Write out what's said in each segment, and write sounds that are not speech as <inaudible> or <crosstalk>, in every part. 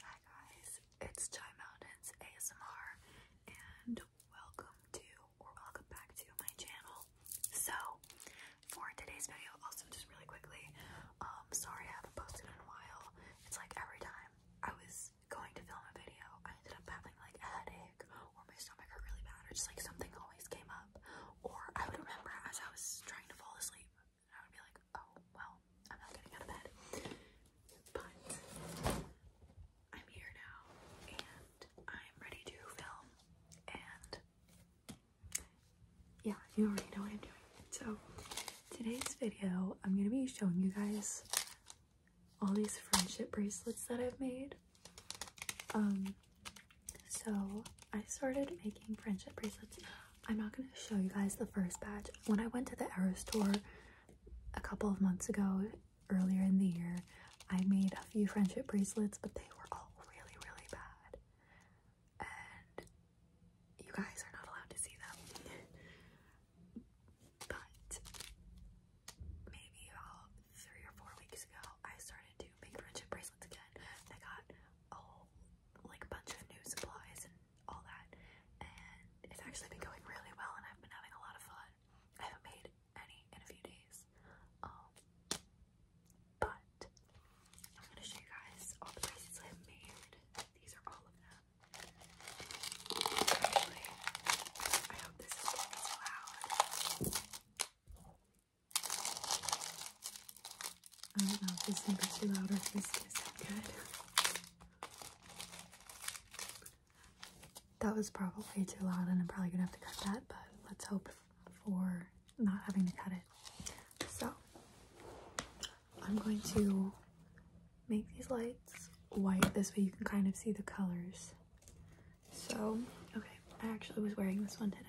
Hi guys, it's Chai Mountains ASMR and welcome to or welcome back to my channel. So for today's video, also just really quickly, um sorry I haven't posted in a while. It's like every time I was going to film a video, I ended up having like a headache or my stomach hurt really bad or just like something always came up or I would remember as I was trying to fall asleep I would be like, oh, well, I'm not getting out of bed. But I'm here now and I'm ready to film. And yeah, you already know what I'm doing. So, today's video, I'm going to be showing you guys all these friendship bracelets that I've made. Um, so I started making friendship bracelets I'm not going to show you guys the first batch. When I went to the Arrow store a couple of months ago, earlier in the year, I made a few friendship bracelets, but they were all really, really bad. And you guys are not allowed to see them. <laughs> but maybe about three or four weeks ago, I started to make friendship bracelets again. I got a whole like bunch of new supplies all that. And it's actually been going really well, and I've been having a lot of fun. I haven't made any in a few days. Um, but I'm gonna show you guys all the bracelets I've made. These are all of them. Anyway, I hope this is loud. I don't know if this number's too loud or if this is good. That was probably too loud and I'm probably gonna have to cut that, but let's hope for not having to cut it. So I'm going to make these lights white. This way you can kind of see the colors. So, okay, I actually was wearing this one today.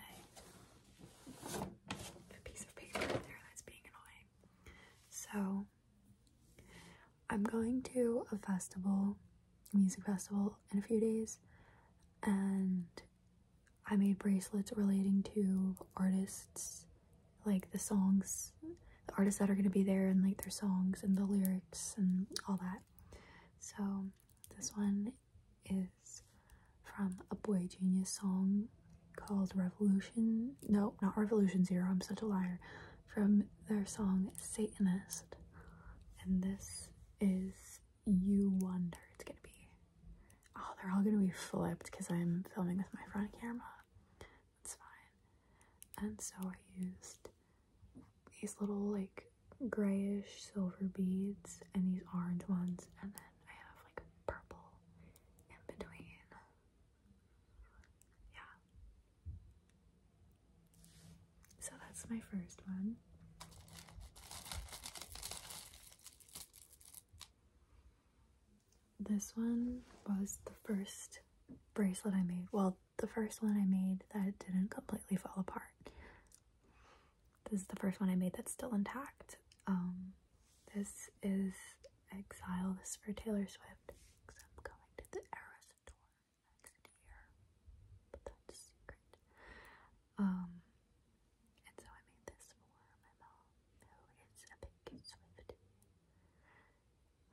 A piece of paper there that's being annoying. So I'm going to a festival, a music festival, in a few days, and I made bracelets relating to artists, like the songs, the artists that are going to be there, and like their songs and the lyrics and all that. So this one is from a Boy Genius song called Revolution. No, not Revolution Zero. I'm such a liar. From their song Satanist. And this is You Wonder. It's gonna be. Oh, they're all gonna be flipped because I'm filming with my front camera. That's fine. And so I used these little, like, grayish silver beads and these orange ones, and then I have like purple in between. Yeah. So that's my first one. This one was the first bracelet I made. Well, the first one I made that didn't completely fall apart. This is the first one I made that's still intact. Um, this is Exile. This for Taylor Swift. I'm going to the Eras tour next year. But that's secret. Um, and so I made this for my mom, who is a big Swifty.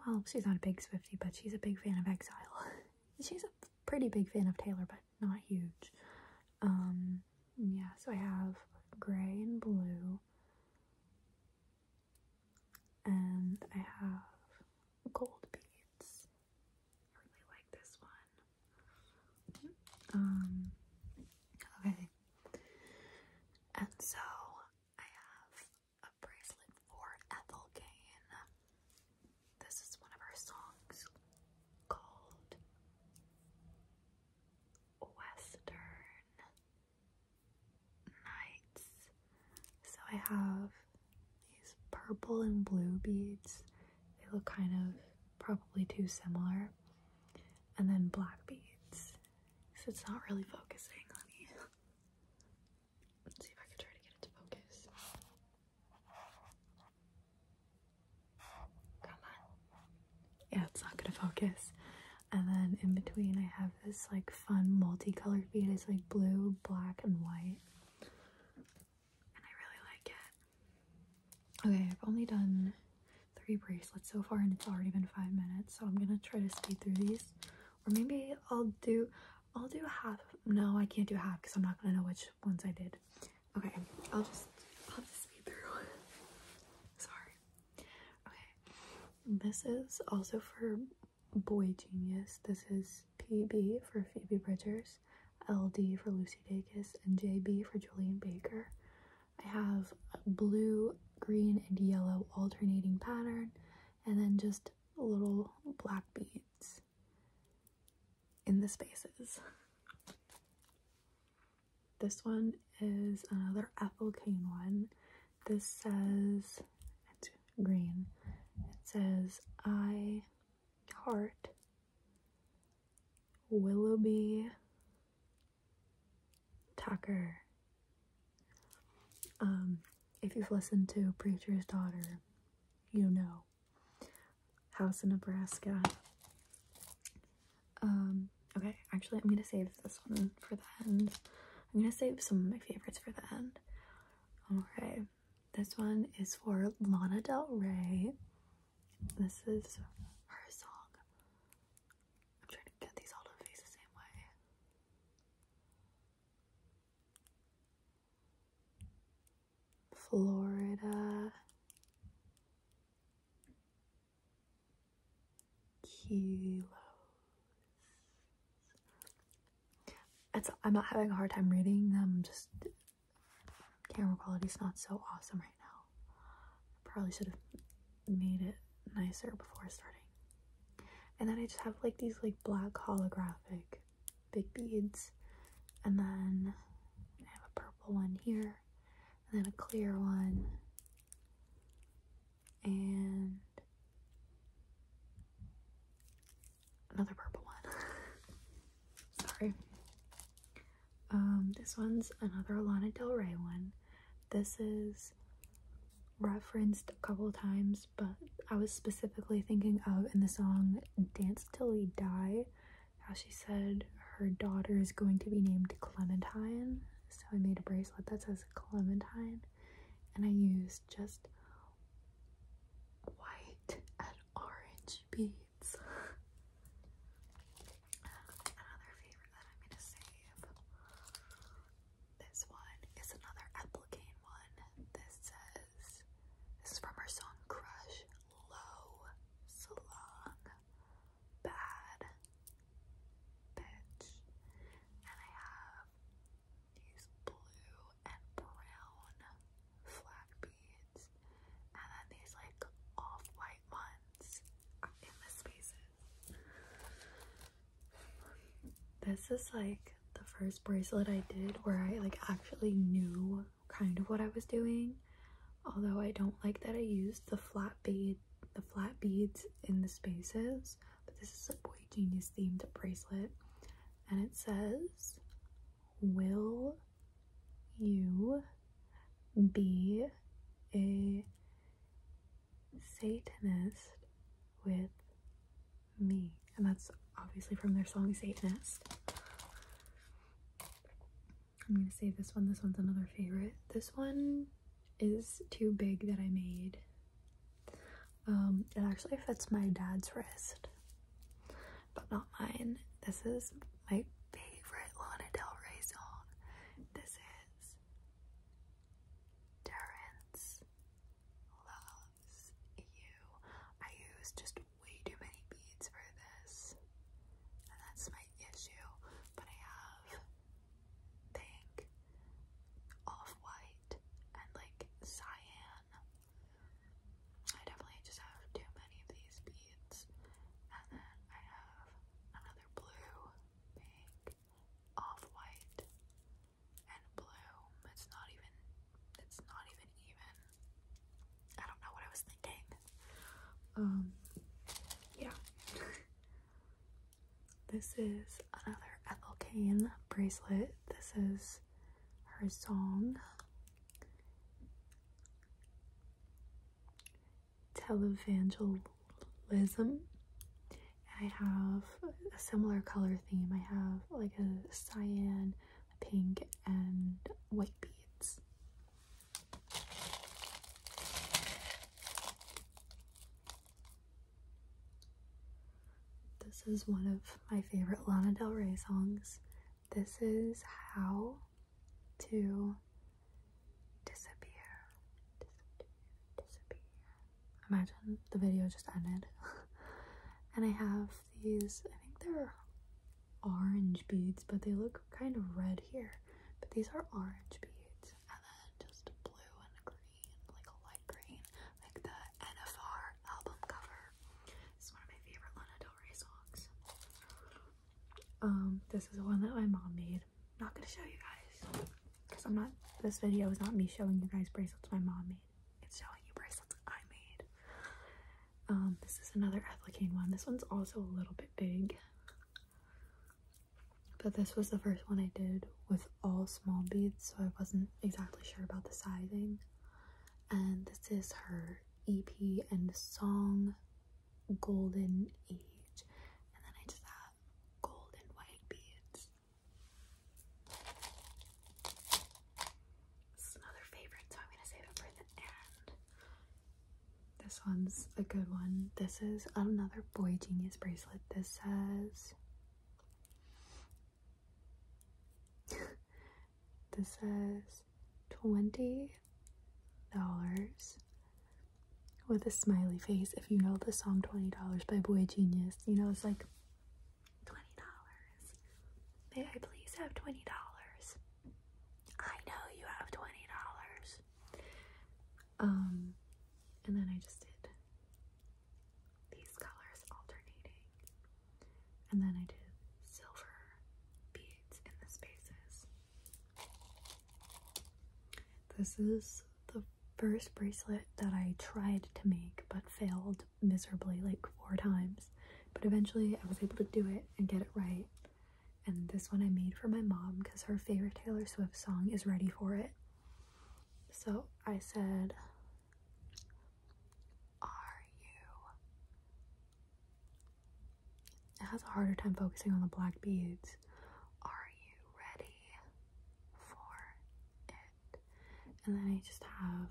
Well, she's not a big Swifty, but she's a big fan of Exile. <laughs> she's a pretty big fan of Taylor, but not huge. Um, yeah, so I have gray and blue and I have gold beads. I really like this one. Um, okay. And so I have a bracelet for Ethel Kane. This is one of her songs called Western nights. So I have these purple and blue beads. They look kind of probably too similar. And then black beads. So it's not really focusing. on you. let's see if I can try to get it focus. Come on. Yeah, it's not gonna focus and then in between I have this like fun multicolored bead. It's like blue, black, and white. And I really like it. Okay, I've only done three bracelets so far and it's already been five minutes, so I'm gonna try to speed through these. Or maybe I'll do I'll do half. No, I can't do half because I'm not gonna know which ones I did. Okay, I'll just I'll just speed through. <laughs> Sorry. Okay, this is also for Boy Genius. This is PB for Phoebe Bridgers, LD for Lucy Dacus, and JB for Julian Baker. I have blue, green, and yellow alternating pattern, and then just little black beads in the spaces. This one is another apple cane one. This says, it's green, it says, I heart Willoughby Tucker. Um, if you've listened to Preacher's Daughter, you know. House in Nebraska. Um, okay, actually, I'm gonna save this one for the end. I'm gonna save some of my favorites for the end. Okay, this one is for Lana Del Rey. This is her song. I'm trying to get these all to face the same way. Florida kilos. It's, I'm not having a hard time reading them, just camera quality's not so awesome right now. Probably should have made it nicer before starting. And then I just have like these like black holographic big beads. And then I have a purple one here. And then a clear one and another purple one. <laughs> Sorry. Um, this one's another Lana Del Rey one. This is referenced a couple times, but I was specifically thinking of in the song Dance Till We Die, how she said her daughter is going to be named Clementine, so I made a bracelet that says Clementine and I used just white and orange beads. <laughs> another favorite that I'm gonna save. This one is another Applicane one. This says this is from our song Crush Low Salon Bad and I have these blue and brown flat beads. And then these like off-white ones in the spaces. This is like the first bracelet I did where I like actually knew kind of what I was doing. Although I don't like that I used the flat beads the flat beads in the spaces, but this is a boy genius themed bracelet, and it says, "Will you be a Satanist with me?" And that's obviously from their song "Satanist." I'm gonna say this one. This one's another favorite. This one is too big that I made. Um, it actually fits my dad's wrist, but not mine. This is my favorite Lana Del Rey song. This is Terrence Loves You. I use just way too many beads for this, and that's my issue, but I have pink, off-white, and like cyan. I definitely just have too many of these beads. And then I have another blue, pink, off-white, and blue. It's not even it's not even even. I don't know what I was thinking. Um, yeah. <laughs> this is another Ethel Kane bracelet. This is her song. Televangelism. I have a similar color theme. I have like a cyan, pink, and white beads. This is one of my favorite Lana Del Rey songs. This is how to disappear. Imagine the video just ended. <laughs> and I have these, I think they're orange beads, but they look kind of red here. But these are orange beads, and then just blue and green, like a light green, like the NFR album cover. This is one of my favorite Lana Del Rey songs. Um, this is one that my mom made. not gonna show you guys because I'm not. This video is not me showing you guys bracelets my mom made. It's showing you bracelets I made. Um, this is another Ethelcane one. This one's also a little bit big. But this was the first one I did with all small beads, so I wasn't exactly sure about the sizing. And this is her EP and song Golden Age. And then I just have golden white beads. This is another favorite, so I'm gonna save it for the end. This one's a good one. This is another Boy Genius bracelet. This says. <laughs> this says $20 with a smiley face. If you know the song $20 by Boy Genius, you know it's like $20. May I please have $20? I know you have twenty dollars. Um, and then I just did these colors alternating, and then I did silver beads in the spaces. This is the first bracelet that I tried to make but failed miserably like four times, but eventually I was able to do it and get it right. And this one I made for my mom because her favorite Taylor Swift song is Ready for It. So I said, Are you? It has a harder time focusing on the black beads. Are you ready for it? And then I just have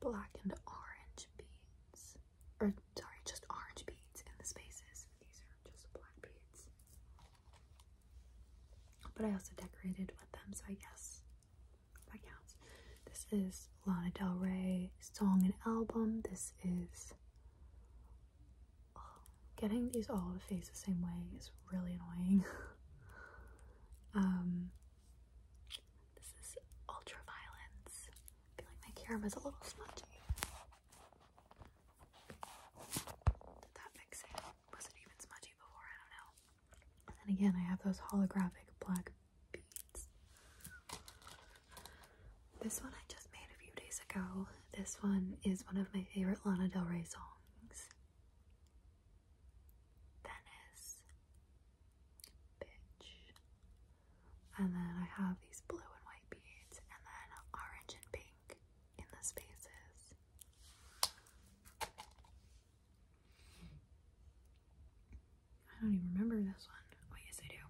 black and orange beads or sorry, just orange beads in the spaces. These are just black beads. But I also decorated with them, so I guess that counts. This is Lana Del Rey song and album. This is oh, getting these all to face the same way is really annoying. <laughs> um this is ultra I feel like my camera's a little smudgy. Did that fix it? Was it even smudgy before? I don't know. And again, I have those holographic black beads. This one I just made a few days ago. This one is one of my favorite Lana Del Rey songs. Venice. Bitch. And then I have these blue and white beads, and then orange and pink in the spaces. I don't even remember this one. Oh, yes, I do.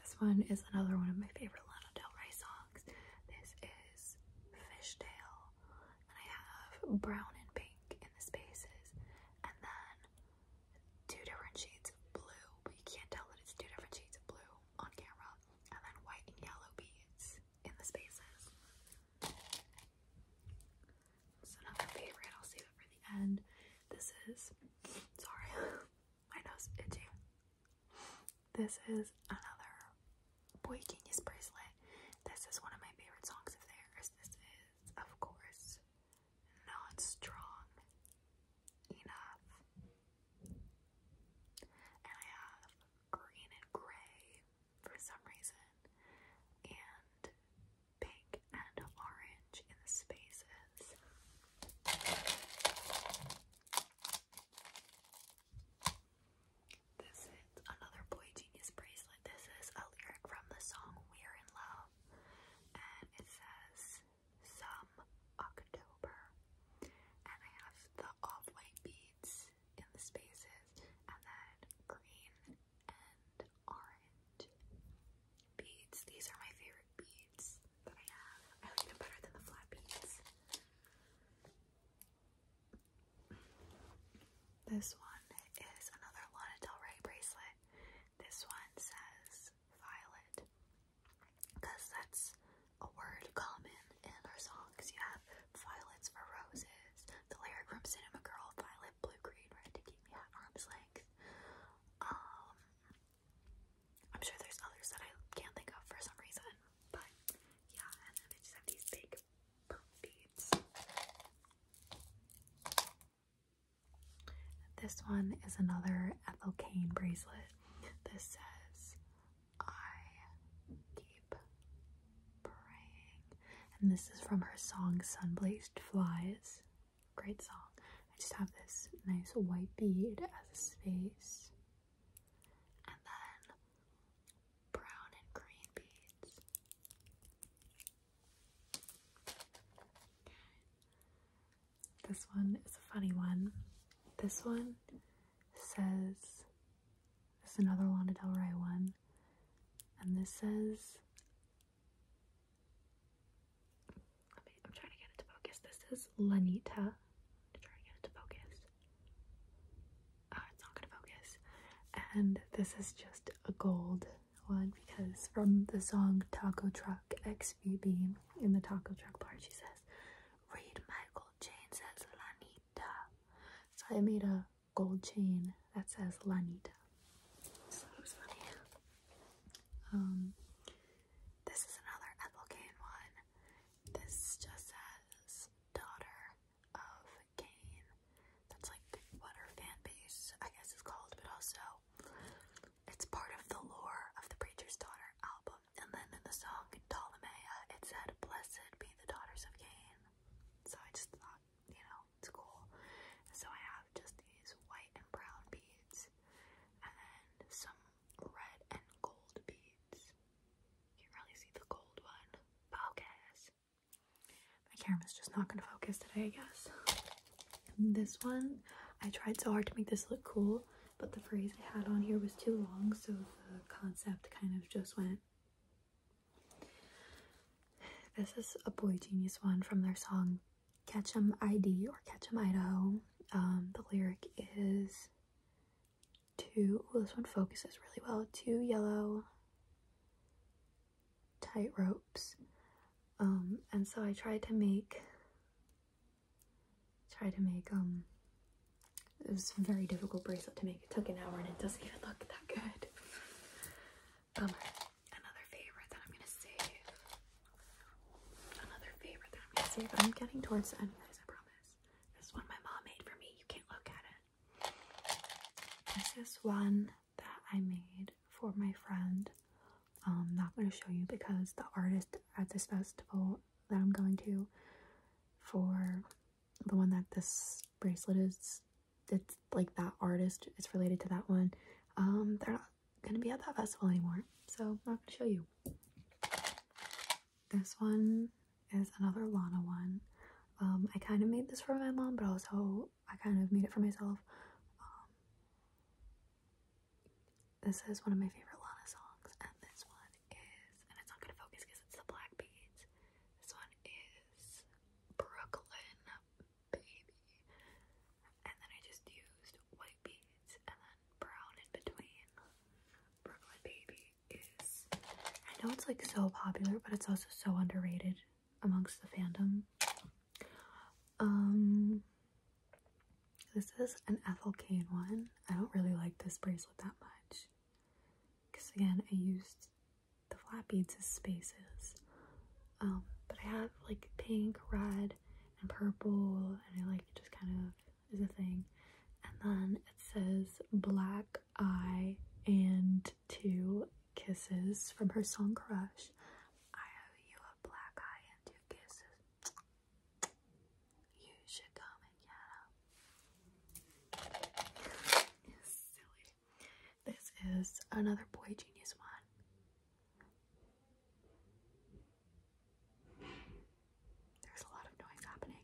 This one is another one of my favorite Lana Del Rey songs. This is Fishtail, and I have brown and pink in the spaces, and then two different shades of blue, but you can't tell that it's two different shades of blue on camera, and then white and yellow beads in the spaces. It's another favorite, I'll save it for the end. This is, sorry, <laughs> my nose is itchy. This is another Boy Genius bracelet. This is one of my favorite songs of theirs. This is, of course, not strong enough. And I have green and gray for some reason, and pink and orange in the spaces. This is another Boy Genius bracelet. This is a lyric from the song We're in Love, and it says, some October. And I have the off-white beads in the spaces, and then green and orange beads. These are my favorite beads that I have. I like them better than the flat beads. This one is another Lana Del Rey bracelet. This one says Violet because that's a word common in our songs. You have violets for roses, the lyric from Cinema Girl, violet, blue, green, red to keep me at arm's length. Um, I'm sure there's others that I can't think of for some reason, but yeah, and then they just have these big beads. This one is another Ethel Kane bracelet. This says, I keep praying. And this is from her song Sunblazed Flies. Great song. I just have this nice white bead as a space. And then brown and green beads. This one is a funny one. This one says, this is another Lana Del Rey one, and this says, I'm trying to get it to focus. This is Lanita. I'm trying to get it to focus. Ah, it's not gonna focus. And this is just a gold one because from the song Taco Truck XVB in the taco truck part, She says, "Read Michael Jane says Lanita." So I made a gold chain that says Lanita. So it was funny. Um, this is another Ethel one. This just says daughter of Cain. That's like what her fan base, I guess, is called, but also it's part of the lore of the Preacher's Daughter album. And then in the song Ptolemaea, it said, Blessed be the daughters of Cain. So I just thought, you know, it's cool. So I have just these white and brown beads and some red and gold beads. You can't really see the gold one. Focus. My camera's just not going to focus today, I guess. This one, I tried so hard to make this look cool, but the phrase I had on here was too long, so the concept kind of just went. This is a Boy Genius one from their song "Catch 'Em ID or "Catch 'Em Idaho. Um, the lyric is two, oh, this one focuses really well, two yellow tight ropes um, and so I tried to make try to make um it was a very difficult bracelet to make. It took an hour and it doesn't even look that good. Um another favorite that I'm gonna save. Another favorite that I'm gonna save. I'm getting towards the end, guys, I promise. This one my mom made for me. You can't look at it. This is one that I made for my friend I'm um, not going to show you because the artist at this festival that I'm going to for the one that this bracelet is, it's like that artist, it's related to that one. Um, they're not going to be at that festival anymore, so I'm not going to show you. This one is another Lana one. Um, I kind of made this for my mom, but also I kind of made it for myself. This is one of my favorite Lana songs, and this one is, and it's not gonna focus because it's the black beads. This one is Brooklyn Baby, and then I just used white beads and then brown in between. Brooklyn Baby is, I know it's like so popular, but it's also so underrated amongst the fandom. Um, this is an Ethel Kane one. I don't really like this bracelet that much because, again, I used the flat beads as spaces. Um, but I have like pink, red, and purple, and I like it just kind of is a thing. And then it says Black Eye and Two Kisses from her song Crush. I owe you a black eye and two this is another boy genius one. There's a lot of noise happening.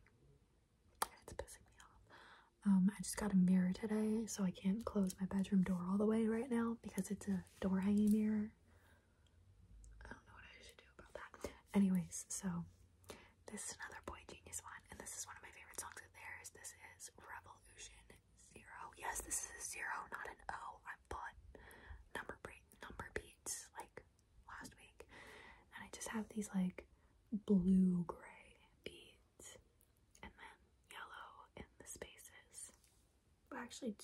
It's pissing me off. Um, I just got a mirror today, so I can't close my bedroom door all the way right now because it's a door hanging mirror I don't know what I should do about that. Anyways, so this is another Boy Genius one, and this is one of my favorite songs of theirs. This is Revolution Zero. Yes, this is a zero, not an O. I bought number break number beats like last week, and I just have these like blue gray beads, and then yellow in the spaces. Well, actually,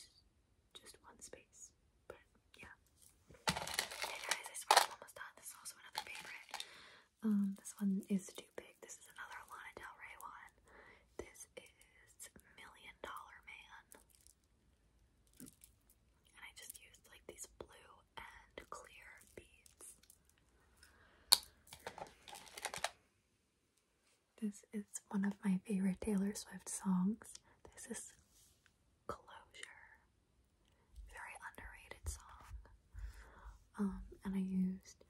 just one space. But yeah. Hey guys, I swear I'm almost done. This is also another favorite. Um, this one is too big. This is another Lana Del Rey one. This is Million Dollar Man. And I just used like these blue and clear beads. This is one of my favorite Taylor Swift songs. This is Closure. Very underrated song. Um, and I used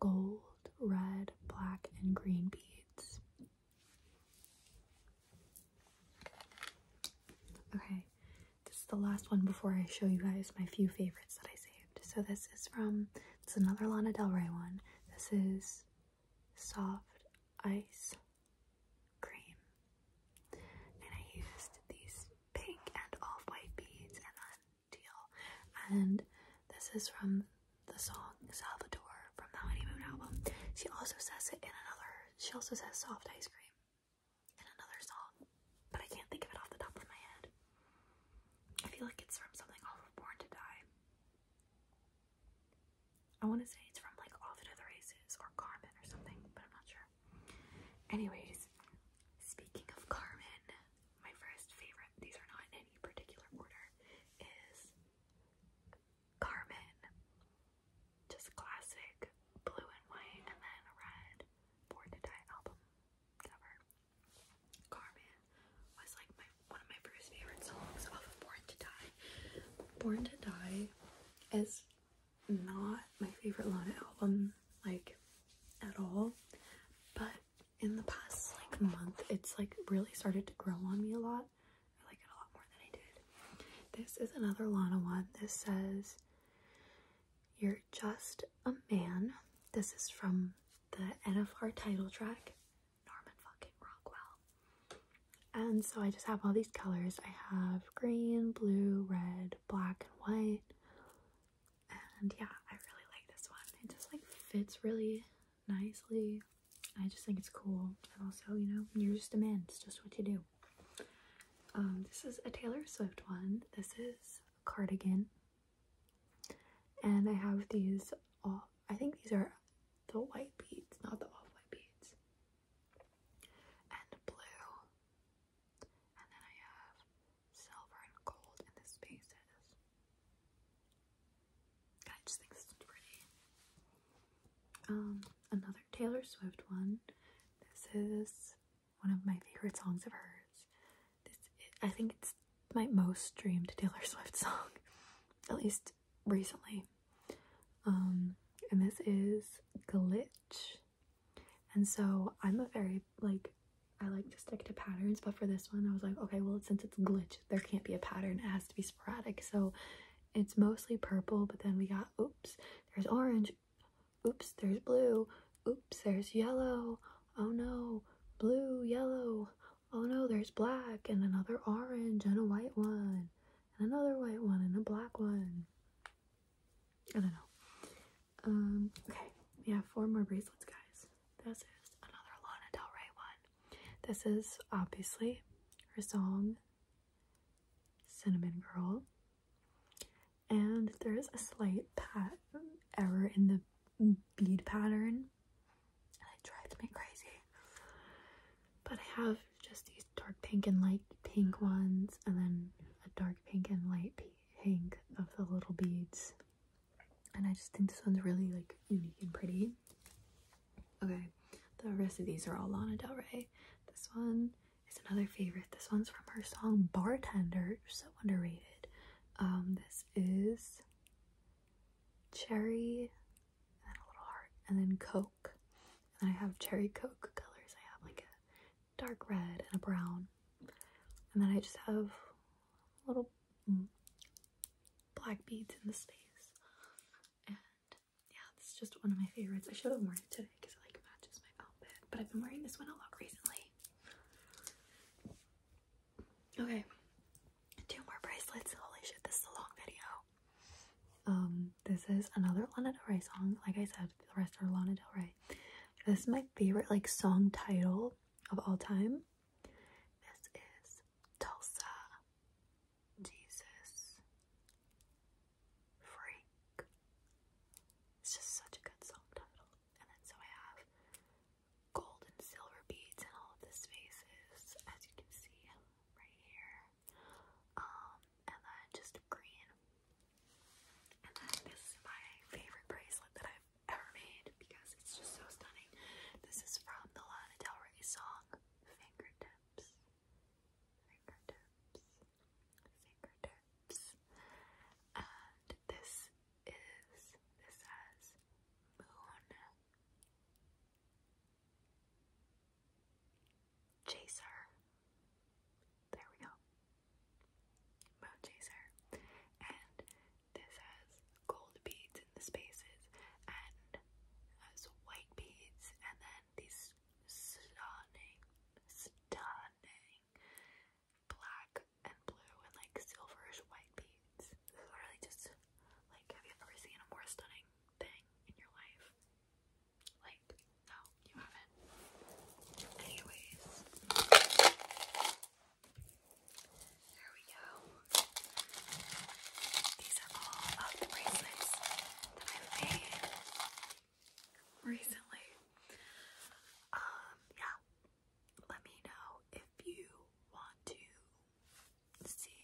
gold, red, black, and green beads. Okay, this is the last one before I show you guys my few favorites that I saved. So this is from it's another Lana Del Rey one. This is soft ice cream. And I used these pink and off-white beads and then And this is from the song Salvador from the honeymoon album. She also says it in another, she also says soft ice cream in another song, but I can't think of it off the top of my head. I feel like it's from something off of Born to Die. I want to say it's from like Off to the Races or Carmen or something, but I'm not sure. Anyways, speaking of Carmen, my first favorite, these are not in any particular order, is Carmen. Just classic blue and white and then red Born to Die album cover. Carmen was like one of my first favorite songs of Born to Die. Born to Die is not my favorite Lana album, like at all. But in the past like month, it's like really started to grow on me a lot. I like it a lot more than I did. This is another Lana one. This says, "You're just a man." This is from the NFR title track, Norman fucking Rockwell. And so I just have all these colors. I have green, blue, red, black, and white. And yeah, I really like this one. It just like fits really nicely. I just think it's cool. And also, you know, you're just a man. It's just what you do. Um, this is a Taylor Swift one. This is Cardigan and I have these off, I think these are the white beads, not the off white beads. And blue. And then I have silver and gold in the spaces. I just think this pretty. Um, another Taylor Swift one. This is one of my favorite songs of hers. I think it's my most streamed Taylor <laughs> Swift song, at least recently. Um, and this is Glitch. And so I'm a very like I like to stick to patterns, but for this one I was like, okay, well since it's glitch, there can't be a pattern. It has to be sporadic. So it's mostly purple, but then we got oops, there's orange, oops, there's blue, oops, there's yellow, oh no, blue, yellow, oh no, there's black and another orange and a white one and another white one and a black one. I don't know. Um, okay, yeah, four more bracelets, guys. This is another Lana Del Rey one. This is obviously her song Cinnamon Girl. And there is a slight pat error in the bead pattern and it drives me crazy. But I have just these dark pink and light pink ones, and then a dark pink and light pink of the little beads. And I just think this one's really like unique and pretty. Okay, the rest of these are all Lana Del Rey. This one is another favorite. This one's from her song Bartender, so underrated. Um, this is cherry, and then a little heart, and then Coke. I have cherry Coke colors. I have like a dark red and a brown. And then I just have little mm, black beads in the space. And yeah, this is just one of my favorites. I should have worn it today because it like matches my outfit. But I've been wearing this one a lot recently. Okay, two more bracelets. Holy shit, this is a long video. Um, this is another Lana Del Rey song. Like I said, the rest are Lana Del Rey. This is my favorite like song title of all time. This is Tulsa. Jesus. Freak. It's just such a good song title. And then so I have gold and silver beads in all of the spaces, as you can see right here. Um, and then just green. And then this is my favorite bracelet that I've ever made because it's just so stunning. This is from the Lana Del Rey song, Fingertips. Fingertips. Fingertips. And this is this says moon chaser. There we go. Moon chaser. And this has gold beads in the spaces and has uh, white beads and then these stunning, stunning black and blue and like silverish white beads. This is really just like, have you ever seen a more stunning thing in your life? Like, no, you haven't. Anyways, there we go. These are all of the bracelets that i made recently. Um, yeah, let me know if you want to see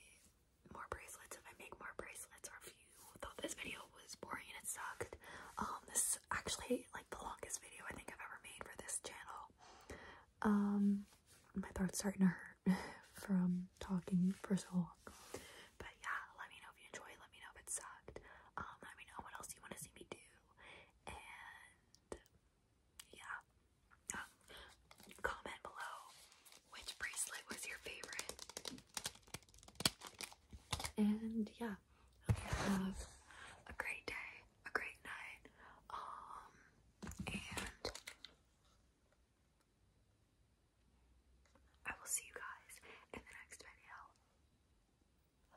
more bracelets, if I make more bracelets, or if you thought this video was boring and it sucked. Um, this is actually like the longest video I think I've ever made for this channel. Um, my throat's starting to hurt <laughs> from talking for so long. But yeah, let me know if you enjoyed, let me know if it sucked. Um, let me know what else you want to see me do. And yeah. Um, comment below which bracelet was your favorite. And yeah, have a great day, a great night. Um, and I will see you guys in the next video.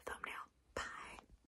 Thumbnail. Bye.